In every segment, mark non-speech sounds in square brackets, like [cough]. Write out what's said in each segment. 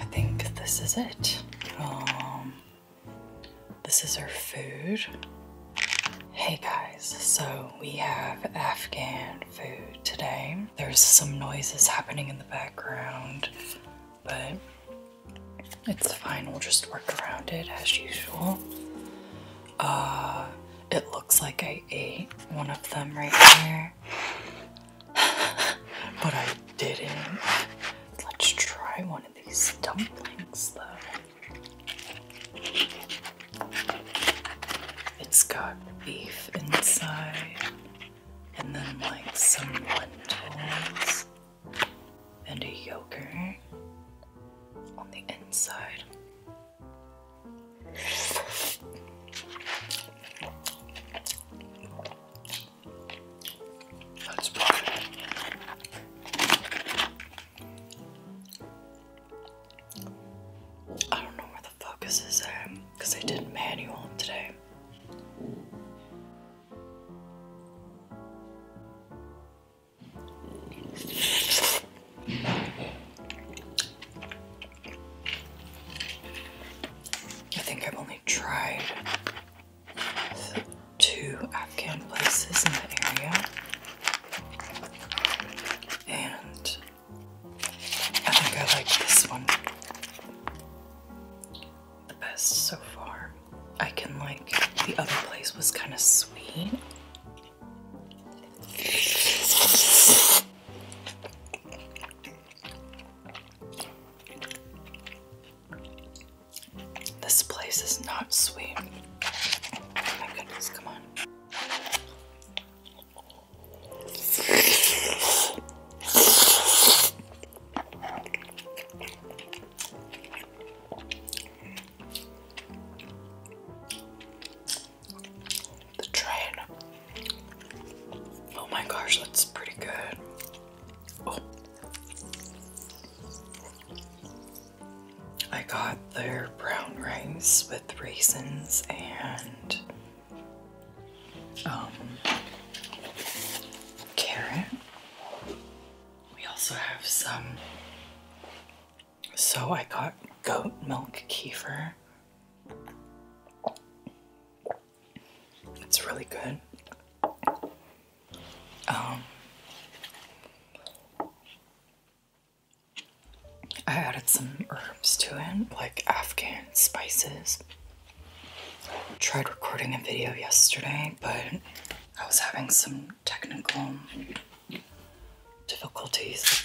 I think this is it. Um, this is our food. Hey guys. So we have Afghan food today. There's some noises happening in the background, but it's fine. We'll just work around it as usual. Uh, it looks like I ate one of them right here, [laughs] but I didn't. Let's try one of these dumplings though. It's got beef inside, and then like some lentils and a yogurt on the inside. That's probably I don't know where the focus is at um, because I did not manual today. I think I've only tried two Afghan places in the area, and I think I like this one the best so far. I can like, the other place was kind of sweet. This place is not sweet. Oh my goodness, come on. The train. Oh my gosh, that's pretty good. Oh. I got their brown rice with raisins and um, carrot. We also have some. So I got goat milk kefir. It's really good. Um, I added some herbs to it, like Afghan spices. Tried recording a video yesterday, but I was having some technical difficulties.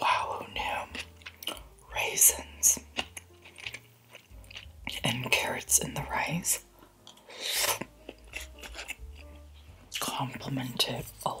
Wow, who knew? Raisins and carrots in the rice complement it a lot.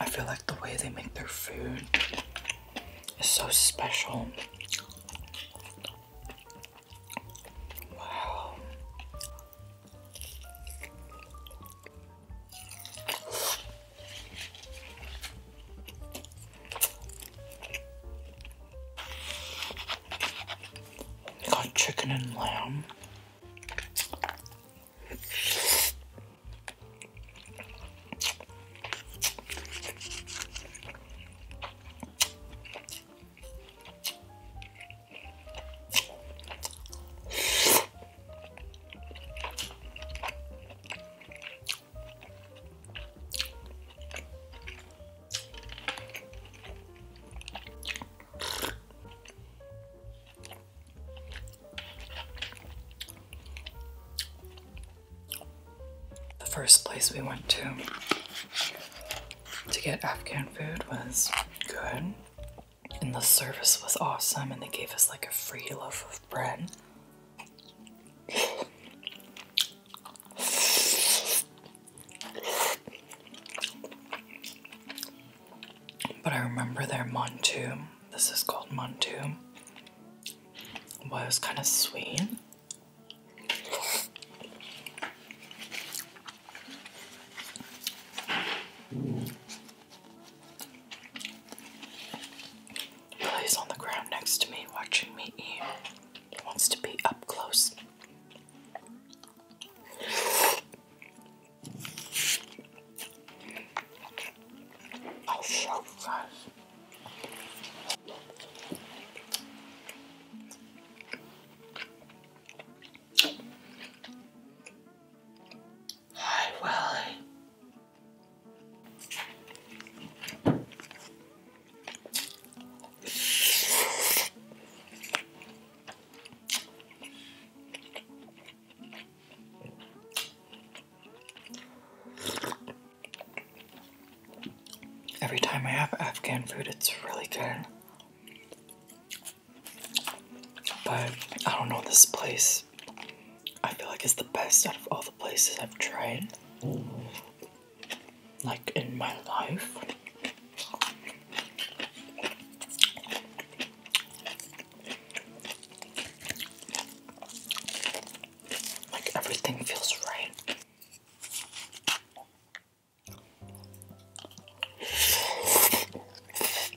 I feel like the way they make their food is so special. Wow. Got chicken and lamb. The first place we went to to get Afghan food was good, and the service was awesome, and they gave us like a free loaf of bread but I remember their Montum, this is called Montum, was kind of sweet. He on the ground next to me, watching me eat. He wants to be up close. I'll you guys. Hi, Willie. Every time I have Afghan food, it's really good. But I don't know this place. I feel like it's the best out of all the places I've tried like in my life. Like everything feels right.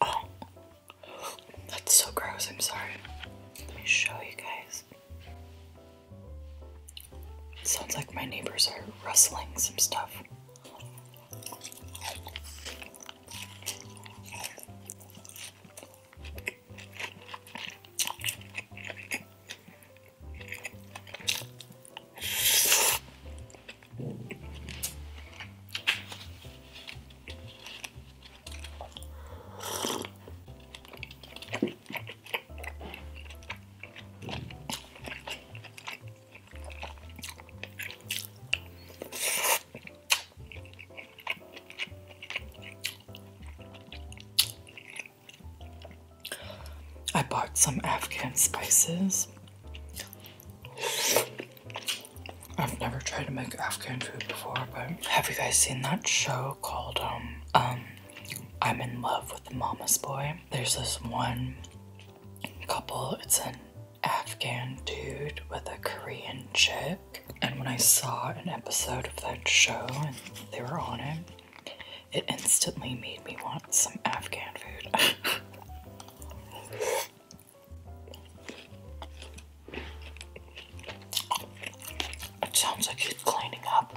Oh, that's so gross. I'm sorry. Let me show you guys. sounds like my neighbors are rustling some stuff. I bought some Afghan spices I've never tried to make Afghan food before, but have you guys seen that show called um um I'm in love with the mama's boy? There's this one couple, it's an Afghan dude with a Korean chick. And when I saw an episode of that show and they were on it, it instantly made me want some Afghan food. [laughs] It sounds like he's cleaning up.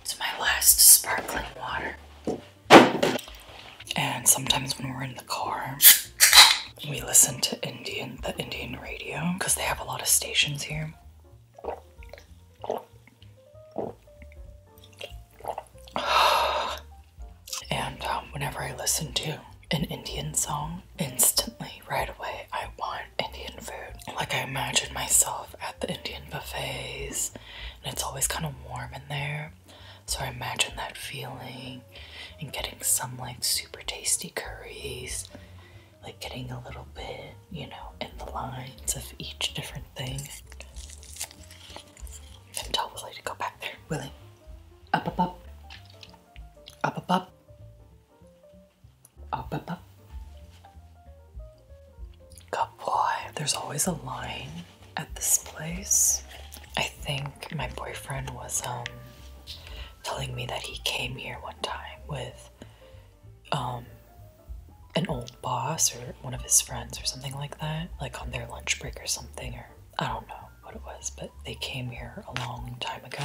It's my last sparkling water. And sometimes when we're in the car, we listen to Indian, the Indian radio, because they have a lot of stations here. [sighs] and um, whenever I listen to an Indian song, instantly, right away, I want Indian food. Like I imagine myself at the Indian buffets, and it's always kind of warm in there. So I imagine that feeling and getting some like super tasty curries like getting a little bit, you know, in the lines of each different thing. And tell Willie to go back there. Willie, up, up, up, up, up, up, up, up, up. Good boy. There's always a line at this place. I think my boyfriend was um telling me that he came here one time with um, an old boss or one of his friends or something like that, like on their lunch break or something, or I don't know what it was, but they came here a long time ago.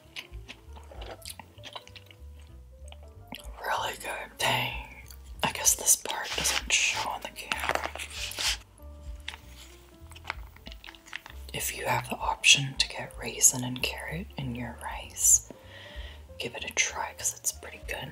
Really good. Dang. I guess this part doesn't show on the camera. If you have the option to get raisin and carrot in your rice, give it a try because it's pretty good.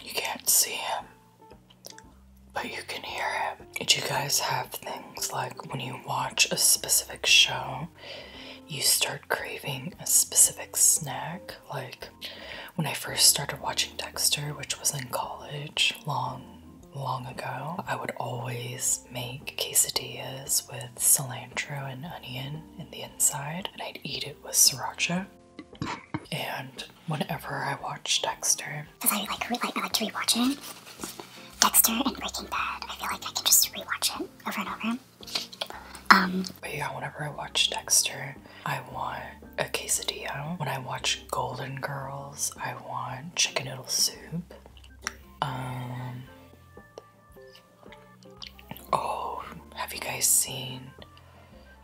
You can't see him, but you can hear him. Did you guys have things like when you watch a specific show you start craving a specific snack. Like when I first started watching Dexter, which was in college long, long ago, I would always make quesadillas with cilantro and onion in the inside, and I'd eat it with sriracha. And whenever I watch Dexter, because I like, like I like to rewatch it, Dexter and Breaking Bad, I feel like I can just rewatch it over and over. Um, but yeah, whenever I watch Dexter, I want a quesadilla. When I watch Golden Girls, I want chicken noodle soup. Um, oh, have you guys seen?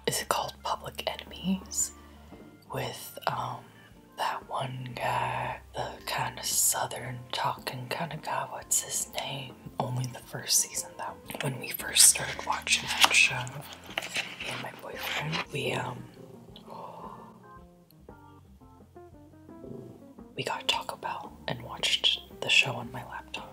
Is it called Public Enemies? With um, that one guy, the kind of southern talking kind of guy. What's his name? only the first season though. When we first started watching that show, me and my boyfriend, we um we got Taco Bell and watched the show on my laptop.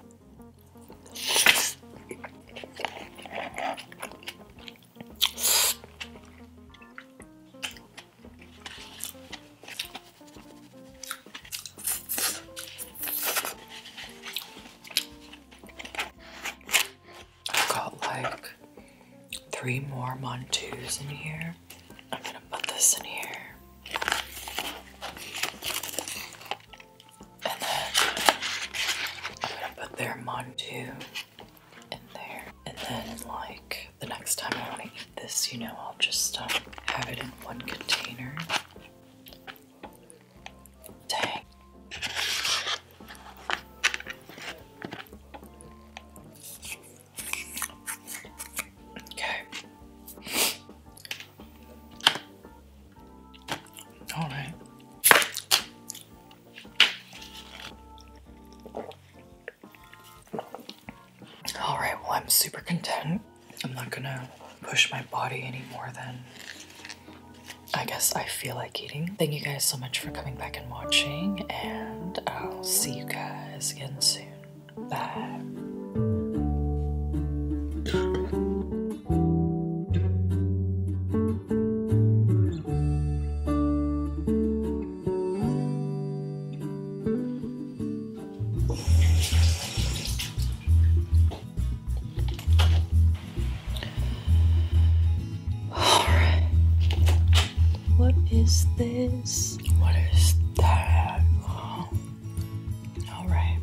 I've got like three more Montus in here. I'm gonna put this in here. And then I'm gonna put their Montu in there. And then like the next time I wanna this, you know, I'll just um, have it in one container. Dang. Okay. All right. All right, well, I'm super content. I'm not gonna push my body any more than I guess I feel like eating. Thank you guys so much for coming back and watching, and I'll see you guys again soon. Bye. Alright. What is this? What is that? Alright.